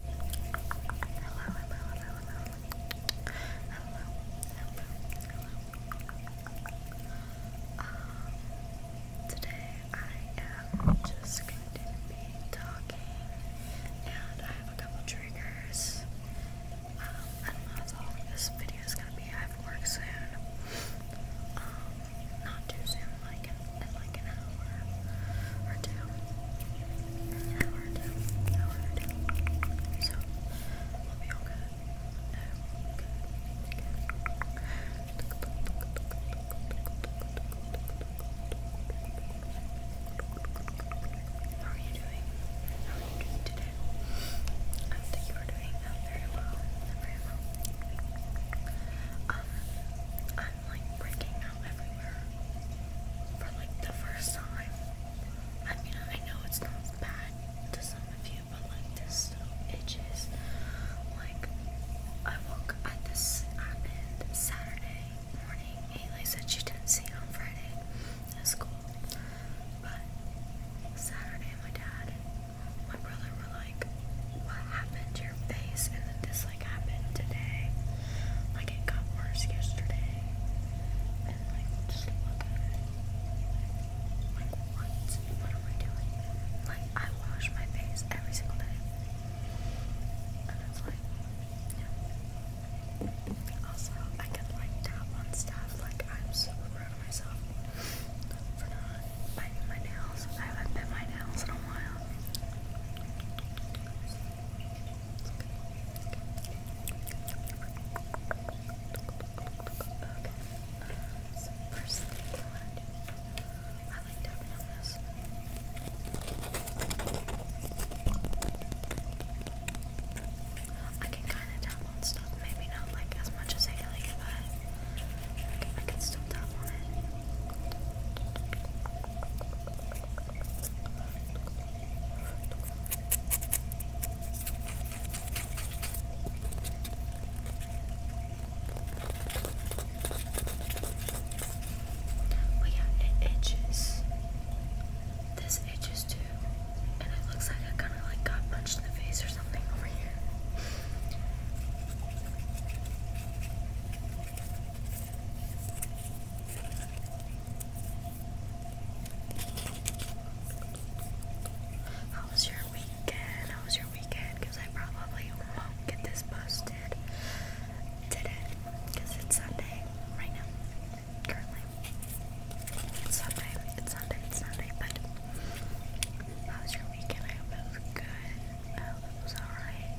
hello. Um, today I am just going to be talking, and I have a couple triggers. Um, I don't know how long this video is gonna be. I have work soon. Um, not too soon, like like an hour or two. An hour two. An hour two. So we'll be all good. How are you doing? How are you doing today? I think you are doing uh, very well. Very well. Um, like breaking out everywhere for like the first time. I mean, I know it's not bad to some of you, but like this still Like, I woke at this happened Saturday morning. Haley said she didn't see it on Friday That's cool, but Saturday, my dad, my brother were like, "What happened to your face?" And then this just like happened today. Like it got worse yesterday. And like just look Like what? What am I doing? Like I wash my face every single day. And it's like yeah. Also, I can like tap on stuff. Like I'm super proud of myself for not biting my nails. I haven't bit my nails in a while. I can kind of tap on stuff, maybe not like as much as I but can, I can still tap on it. But yeah, it itches. This itches too. And it looks like I kinda like got punched in the face or something over here. How was your weekend? How was your weekend? Because I probably won't get this posted today because it's Sunday right now. Currently, it's Sunday. It's Sunday. It's Sunday. But how was your weekend? I hope it was good. I hope it was alright.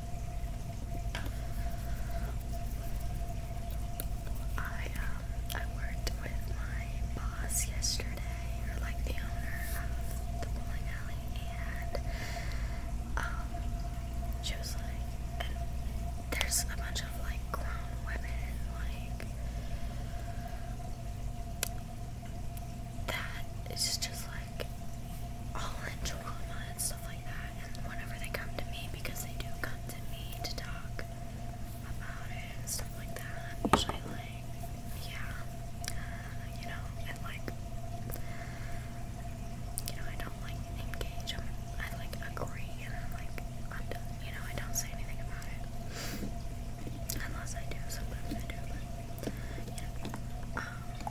I um I worked with my boss yesterday, or like the owner of the bowling alley, and um she was like, there's a bunch of like grown women like that. just like like all in trauma and stuff like that. And whenever they come to me, because they do come to me to talk about it and stuff like that, I'm usually like, yeah, uh, you know, and like, you know, I don't like engage. I'm, I like agree, and I'm like, I'm done. You know, I don't say anything about it. Unless I do, sometimes I do, but you know. Um, I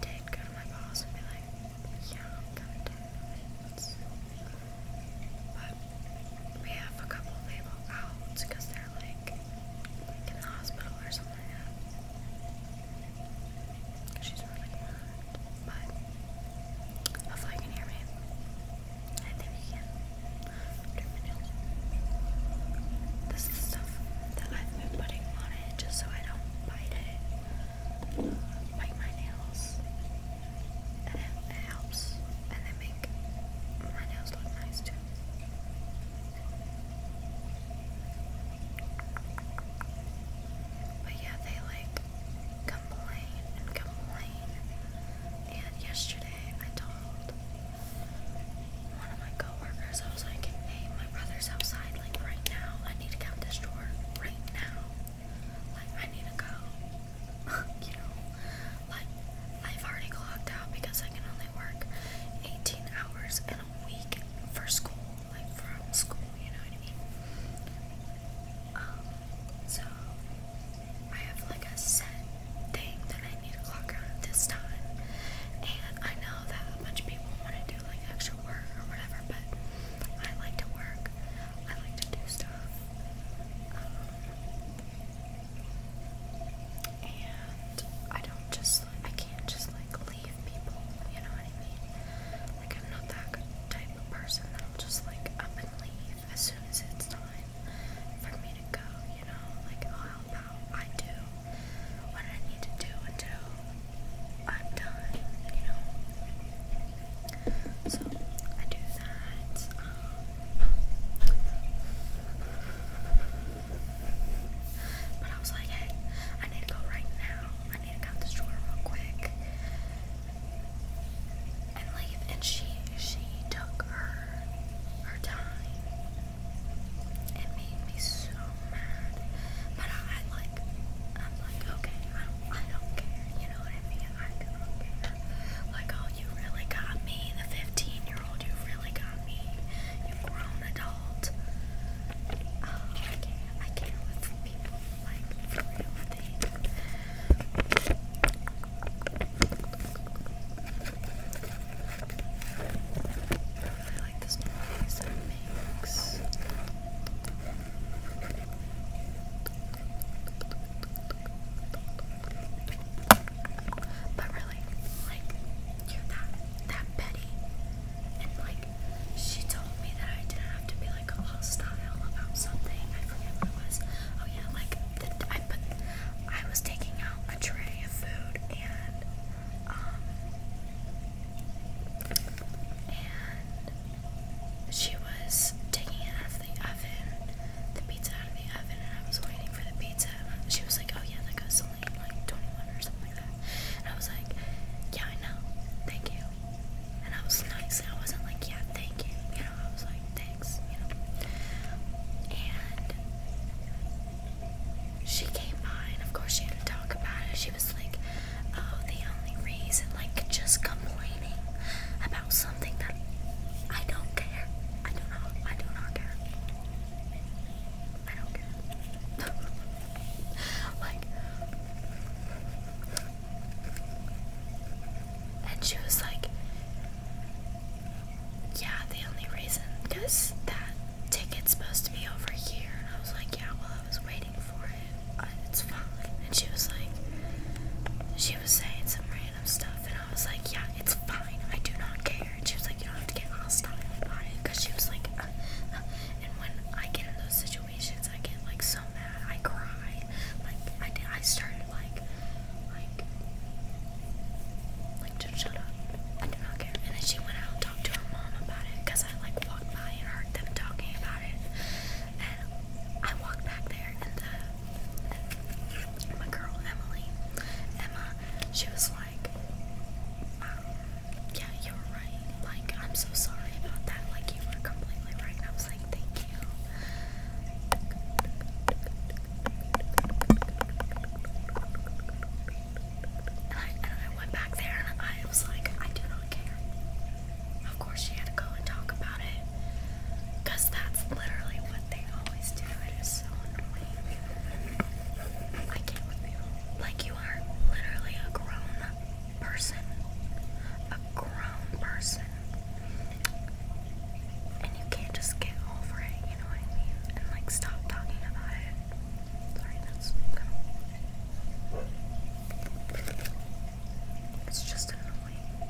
did go to my boss and be like, yeah, i But we have a couple people out because they're like in the hospital or something She's really mad. But hopefully you can hear me. I you This is stuff that I've been putting on it just so I don't bite it, bite my nails, and it helps, and they make my nails look nice too. But yeah, they like complain and complain and yesterday I told one of my coworkers, I was like, hey, my brother's outside, like right now. I need to get out this drawer right now. Like, I need to go. you know? Like, I've already clocked out because I can only work 18 hours in a week for school, like from school, you know what I mean? Um, so I have like a set thing that I need to clock out at this time. And I know that a bunch of people want to do like extra work or whatever, but I like to work. I like to do stuff. and I don't just, I can't just like leave people, you know what I mean? Like I'm not that type of person that just like up and leave as soon as it's time for me to go, you know, like I'll oh, help out. I do what I need to do until I'm done, you know. So I do that. Um, but I was like, hey, I need to go right now. I need to count this drawer real quick and leave. And she she took her her her time. It made me so mad. But I, like I'm like, okay, I I don't care, you know what I mean? I don't care. Like, oh you really got me, the fifteen year old, you really got me. You grown adult. Oh, I can't with people like for real things really like this noise that makes. But really, like, you're that, that petty. And, like, she told me that I didn't have to be, like, all style about something. I forget what it was. Oh, yeah, like, I put I was taking out a tray of food and um and she was taking it out of the oven, the pizza out of the oven and I was waiting for the pizza. She was like, Oh yeah, that goes only like twenty one or something like that and I was like, Yeah, I know, thank you. And I was nice and I wasn't like, Yeah, thank you. You know, I was like, Thank she came by, and of course she had to talk about it. She was like, "Oh, the only reason, like, just complaining about something that I don't care. I do not. I do not care. I don't care. like." And she was like, yeah, the only reason, because that ticket's supposed to be over here. And I was like, yeah, well, I was waiting for it. Uh, it's fine. And she was like, she was saying some random stuff. And I was like, yeah, it's fine. I do not care. And she was like, you don't have to get hostile about it. Because she was like, uh, uh. and when I get in those situations, I get like so mad. I cry. Like, I, did, I started like, I like, like just shut up. I do not care. And then she went out and talked to her mom about it because I like walked by and heard them talking about it. And I walked back there and the and my girl Emily, Emma, she was like, um, yeah, you were right. Like, I'm so sorry about that. Like, you were completely right. And I was like, thank you. And I, went back there and I was like, I do not care. Of course, she had to go and talk about it. Because that's literally what they always do. It is so annoying. Like, you are literally a grown person. A grown person. And you can't just get over it, you know what I mean? And like stop talking about it. Sorry, that's kind of. It's just annoying. Oh,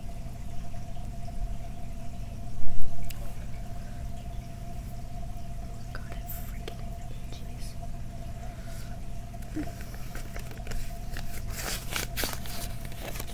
God, it freaking itches.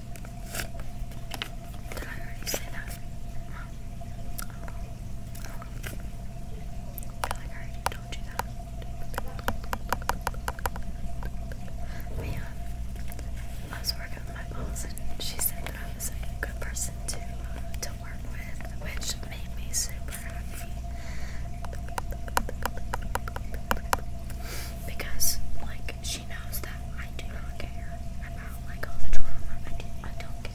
Did I already say that? I feel like I already told you that. Man, I was working with my boss and she said that I was a good person to, to work with, which made me super happy. Because, like, she knows that I do not care about like all the drama. I, do, not care.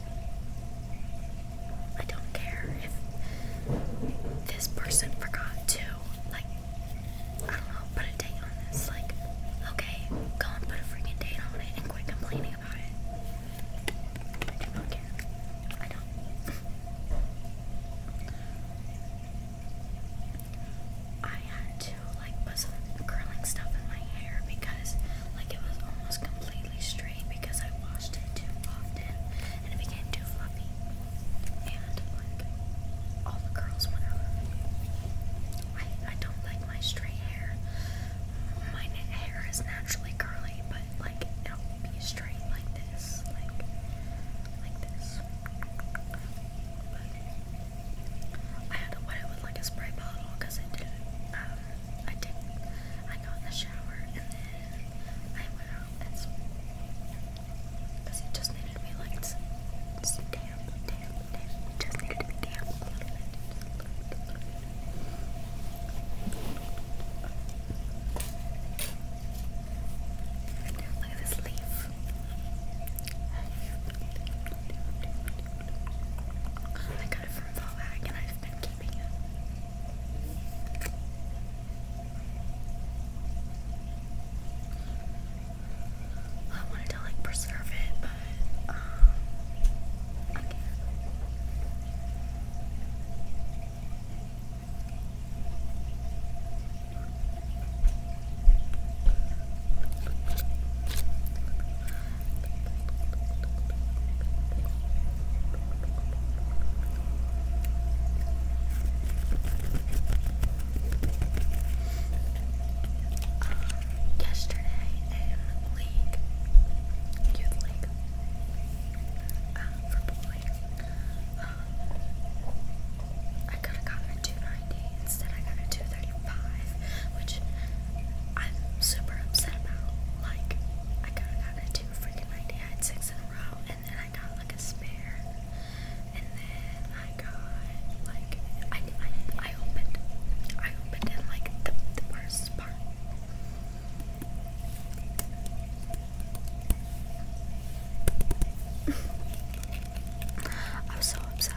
I don't care if this person forgot to like I don't know, put a date on this. Like, okay, go and put a freaking date on it and quit complaining about it. I do not care. I don't. I had to like put curling stuff in my hair because like it was almost completely straight because I washed it too often and it became too fluffy and like all the curls went I, I don't like my straight hair. My hair is naturally curly, but like it'll be straight like this, like like this. I had to wet it with like a spray bottle because I didn't. Um, I did. I got in the shower and then I went out and because it just needed to be like it's, it's damp, damp, damp. It just needed to be damp a little bit. Just a little bit, a little bit. Look at this leaf. I got it from Volvac and I've been keeping it. I wanted to like preserve it, but um, I can't yesterday in league, youth um, for bowling, I could have gotten a 290, instead I got a 235, which I'm super upset about. Like, I could have gotten a 2 freaking 90, I 6 in a row, and then I got like a spare, and then I got like, I, I, I opened, I opened in like the, the worst part. I'm so upset.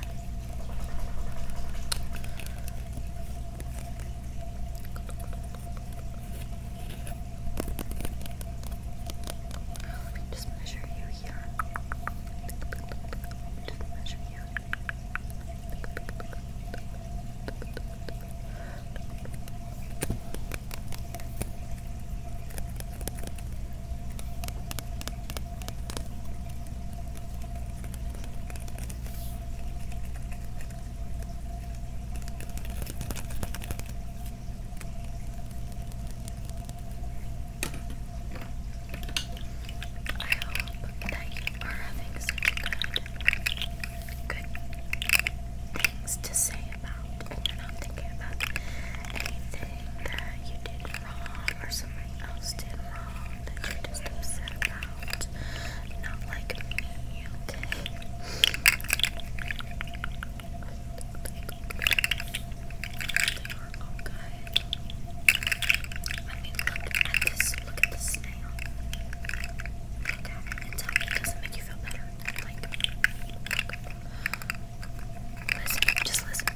Let me just measure you here. Just measure you hope that you are having such good, good things to say about. You're not thinking about anything that you did or something else did wrong that you're just upset about. Not like me, look at this. Look at this snail. Look doesn't make you feel better. Like, look. Listen, just listen.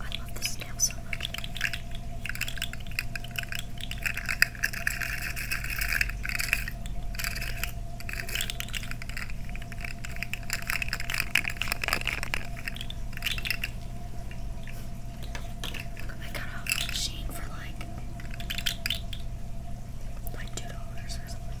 I love this snail so much. I got a machine for like like two dollars or something.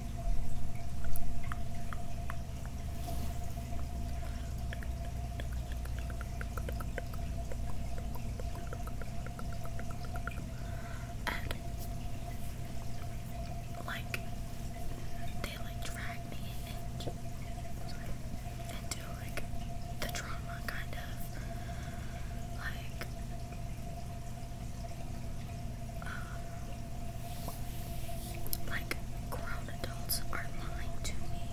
And like they like dragged me into like the drama kind of like like grown adults are lying to me,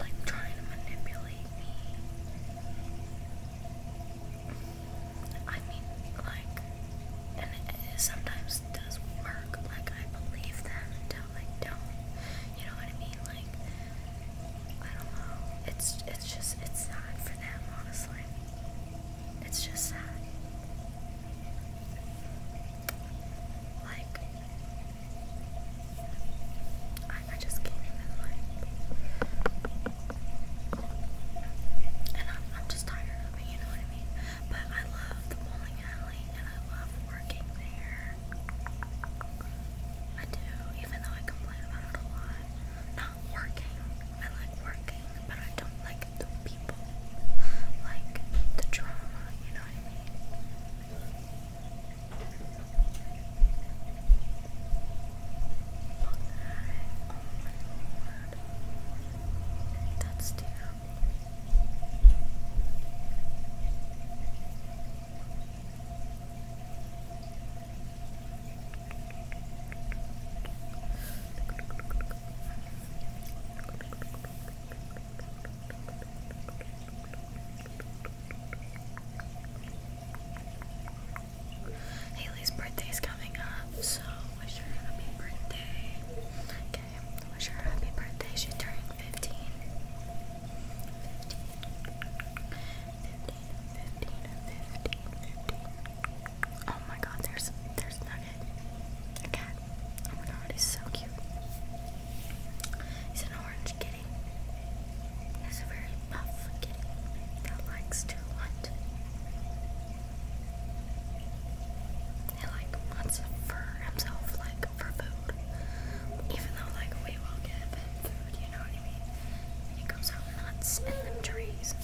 like trying to manipulate me. I mean, like, and it sometimes does work. Like I believe them until I don't. You know what I mean? Like I don't know. It's it's just it's not for them, honestly it's just sad. Like, I, just can't even and I'm just tired of it, you know what I mean? But I love the bowling alley and I love working there. I do, even though I complain about it a lot. Not working, I like working, but I don't like the people. Like the drama, you know what I mean? That's terrible. Haley's birthday is coming up, so wish her happy birthday. Okay, wish her happy birthday. She turned 15. 15. 15, 15, 15. Oh my god, there's there's Nugget. A cat. Oh my god, he's so cute. He's an orange kitty. He's a very buff kitty that likes to hunt. He like wants for himself like for food. Even though like we will get it food, you know what I mean? it comes nuts and them trees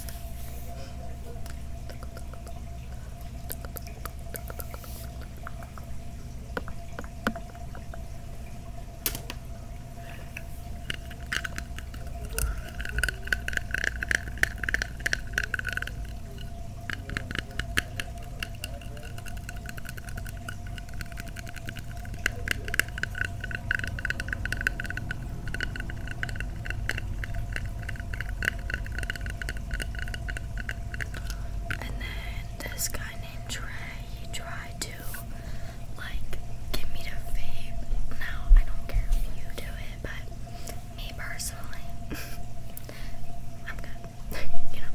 and then this guy named Trey, he tried to like give me to vape. Now I don't care if you do it, but me personally, I'm good. you know.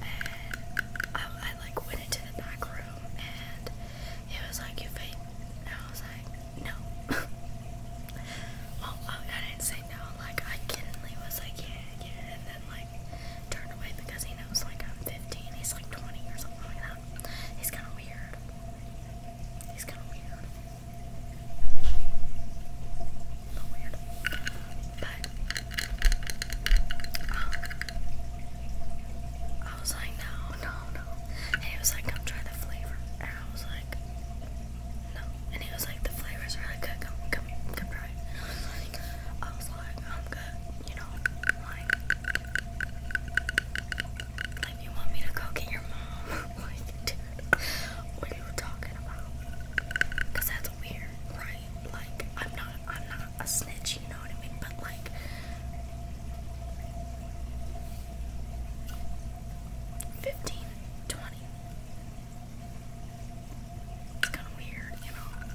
And I, like went into the back room and he was like, "You vape I was like, no. oh, I, didn't say no. Like, I kiddingly was like, yeah, And then, like, turned away because he knows, like, I'm 15. He's, like, 20 or something like that. He's kind of weird. He's kind of weird. Not weird. But, um, I was like, no, no, no. And he was like, come try the flavor. And I was like, no. And he was like, the flavors are really good. Come, come, come try it. And I was like, I was like, I'm good. You know, like, like you want me to go get your mom? like, dude, what are you talking about? Cause that's weird, right? Like, I'm not, I'm not a snitch. You know what I mean? But like, Fifteen, twenty. It's kind of weird, you know.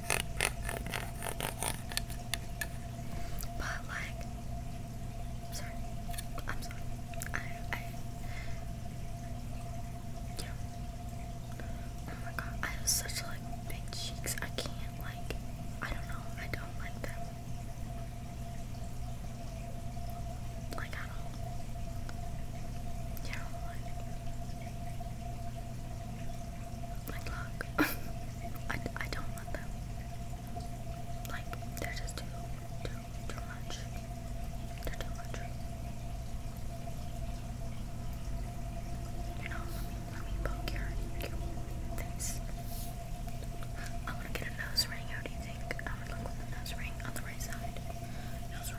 But like, sorry, I'm sorry. yeah. Oh my god, I have such like big cheeks. I can't like, I don't know. I don't like them. Like at all. Yeah, like, I, don't want them. Like, they're just too, too, too much. too much. You know, let me, poke your, your face. I want to get a nose ring. How do you think I would look with a nose ring on the right side?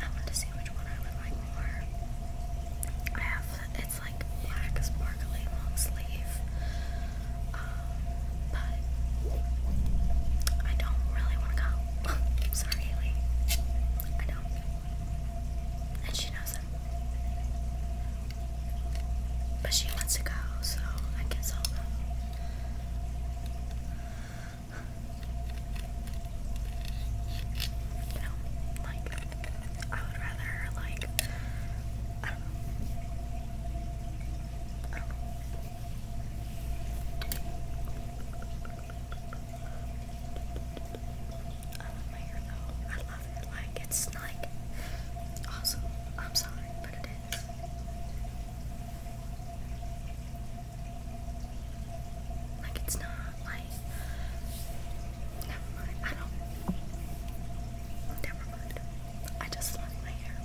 I want to see which one I would like more. I have it's like black sparkly long sleeve, um, but I don't really want to go. Sorry, Haley. I don't, and she knows it. But she wants to go, so I guess I'll go. You like I would rather like I love my hair though. I love it. Like it's like awesome. I'm sorry, but it is. Like it's not like never mind. I don't never mind. I just love my hair.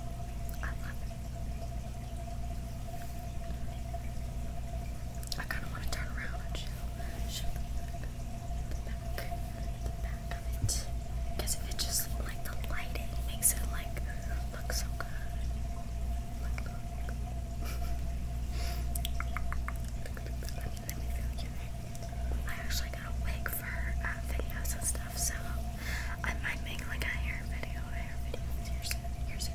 I love I kinda wanna turn around and show show the back the back of it. Because if it just like the lighting makes it like look so good. Like look. Let me, let me feel your I actually got a wig for uh, videos and stuff, so I might make like a hair video, hair video here soon. Here soon.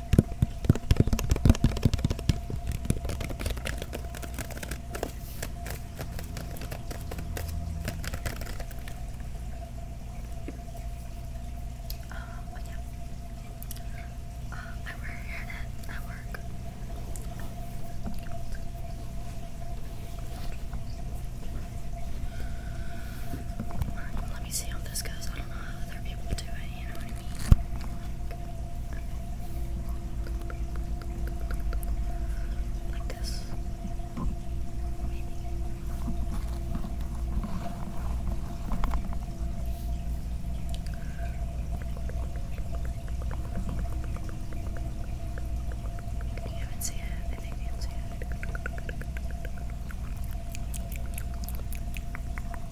Uh, yeah. Uh, I wear a hairnet at work. Let me see how this goes. I don't know how other people do it, you know like this. Maybe. Can you even see it? I think you can see it.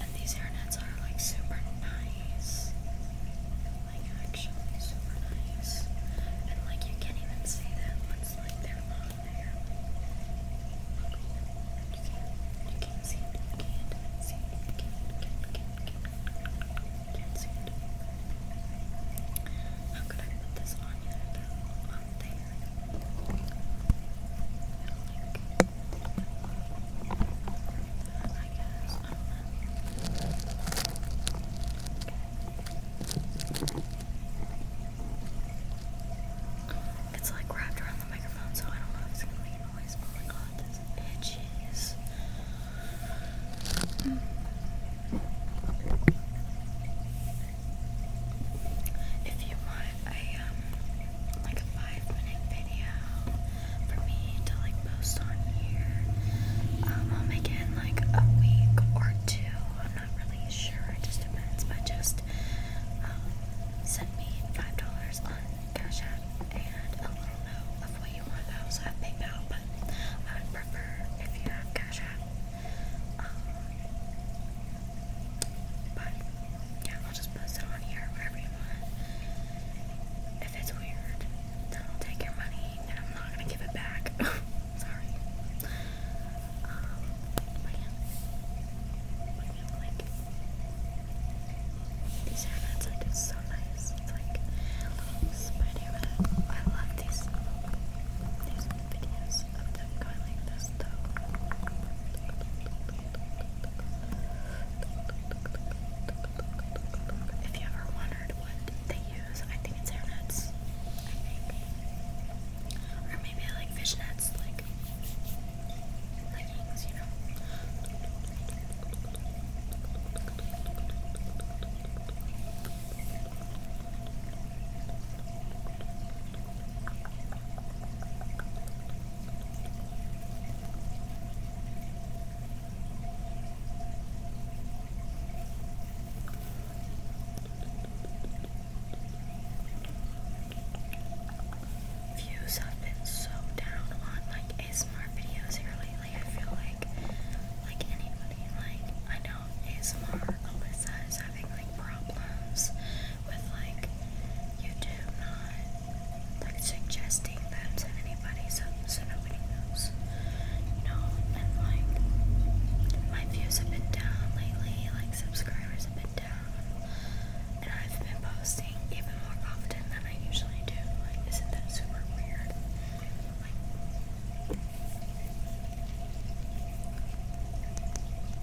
And these nets are like super nice. Like actually super nice. And like you can't even see them once like they're on there. You can't, you can't see it, you can't see it, you can't, can't, can can't, see it. How could I put this on off there. It's like wrapped around the microphone, so I don't know if it's gonna make noise, oh my god, this itches. Mm. If you want a um, like a five minute video for me to like post on here, um, I'll make it in like a week or two. I'm not really sure. It just depends. But just um, send me five dollars on Cash App and a little note of what you want. I also have PayPal, but I would prefer if you have Cash App. Um, but yeah, I'll just post it on here, whatever you it's weird, then will take your money and I'm not gonna give it back. Sorry. Um, like? These hairnets are just so nice. It's like I love these, these videos of them going like this. If you ever wondered what they use, I think it's hair nets. Or maybe like fish nets, like leggings, you know. Views have been so down on like ASMR videos here lately. I feel like like anybody like I know ASMR, Alyssa is having like problems with like YouTube not like suggesting that to anybody so, so nobody knows. You and like my views have been down lately, like subscribers have been down. And I've been posting even more often than I usually do. Like, isn't that super weird?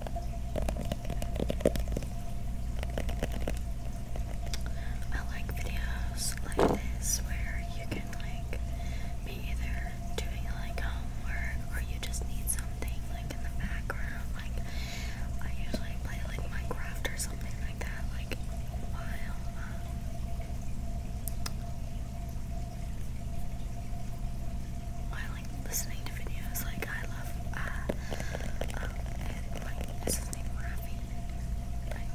I like videos like this where you can like be either doing like homework or you just need something like in the background. Like I usually play like Minecraft or something like that like while um, like listening to videos. Like I love uh, um, like this is named Rafi. Like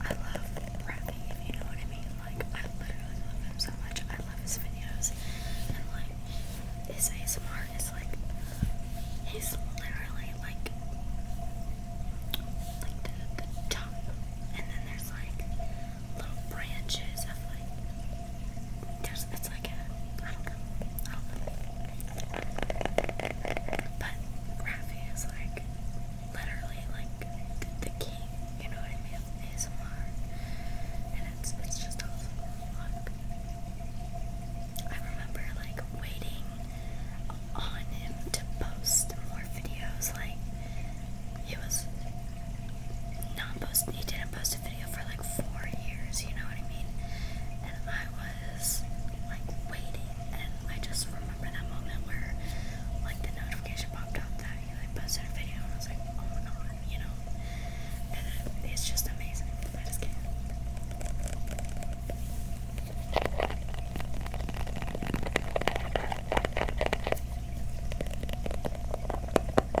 I love Rafi, you know what I mean. Like I literally love him so much. I love his videos and like his ASMR is like he's literally like like the top and then there's like little branches of like there's it's like a I don't know. I don't know. But Rafi is like literally like the, king, you know what I mean? Of ASMR. And it's it's just awesome. I remember like waiting on him to post more videos like it was not post he didn't post a video for like four years, you know what I mean? And I was like waiting and I just remember that moment where like the notification popped up that he posted a video and I was like, oh my god, you know? And it's just amazing. I just can't yeah, and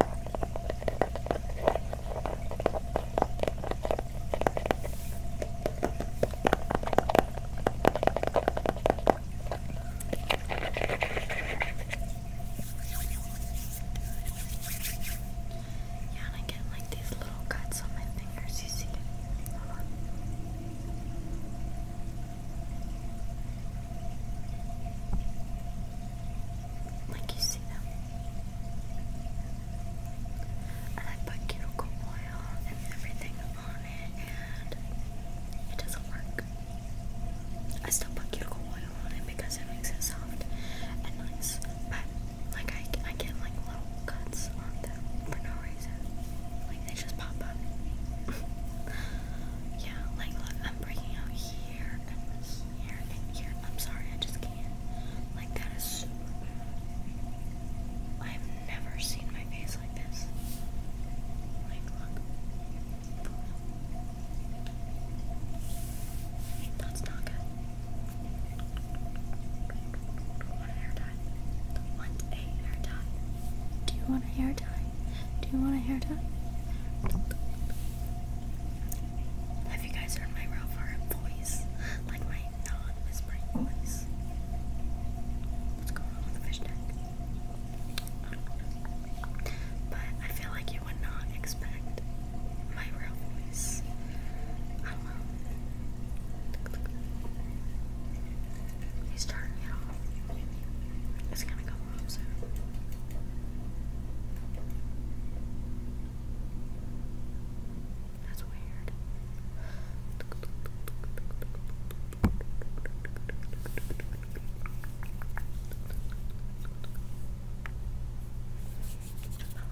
I get like these little cuts on my fingers, you see. Hold on like you see them. And I put cuticle oil and everything on it, and it doesn't work. I still put cuticle oil on it because it makes it soft and nice, but like I, I get like little cuts on them for no reason. Like they just pop up. yeah, like look, I'm breaking out here, I'm sorry, I just can't. Like that is super bad. I've never seen my face like this. Like look. That's not good. Want a Want a hair dye? Do you want a hair dye? Do you want a hair dye? Have you guys heard my Ralph Lauren voice? Like my non-whispering voice. What's going on with the fish tank? But I feel like you would not expect my real voice. He's turning it off. It's gonna go off soon. That's weird. But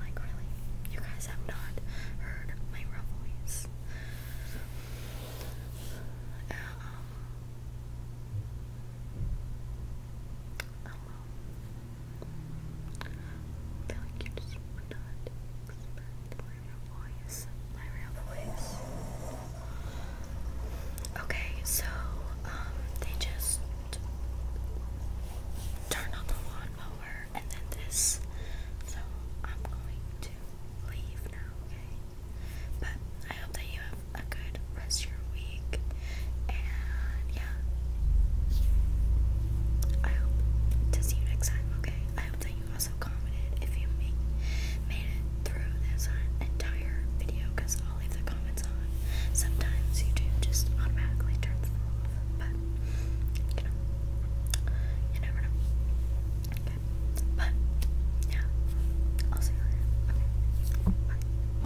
like really, you guys have not heard my real voice. Uh, um, I you Okay, so um they just turn on the lawnmower and then this. So I'm going to leave now, okay? But I hope that you have have a good rest your week. And yeah, I hope to see you next time, okay? I hope that you also commented if you make, made it through this entire video because i leave the comments on. Sometimes YouTube just automatically turns them off, but you never know. Okay, but yeah, I'll see you later. Okay, bye.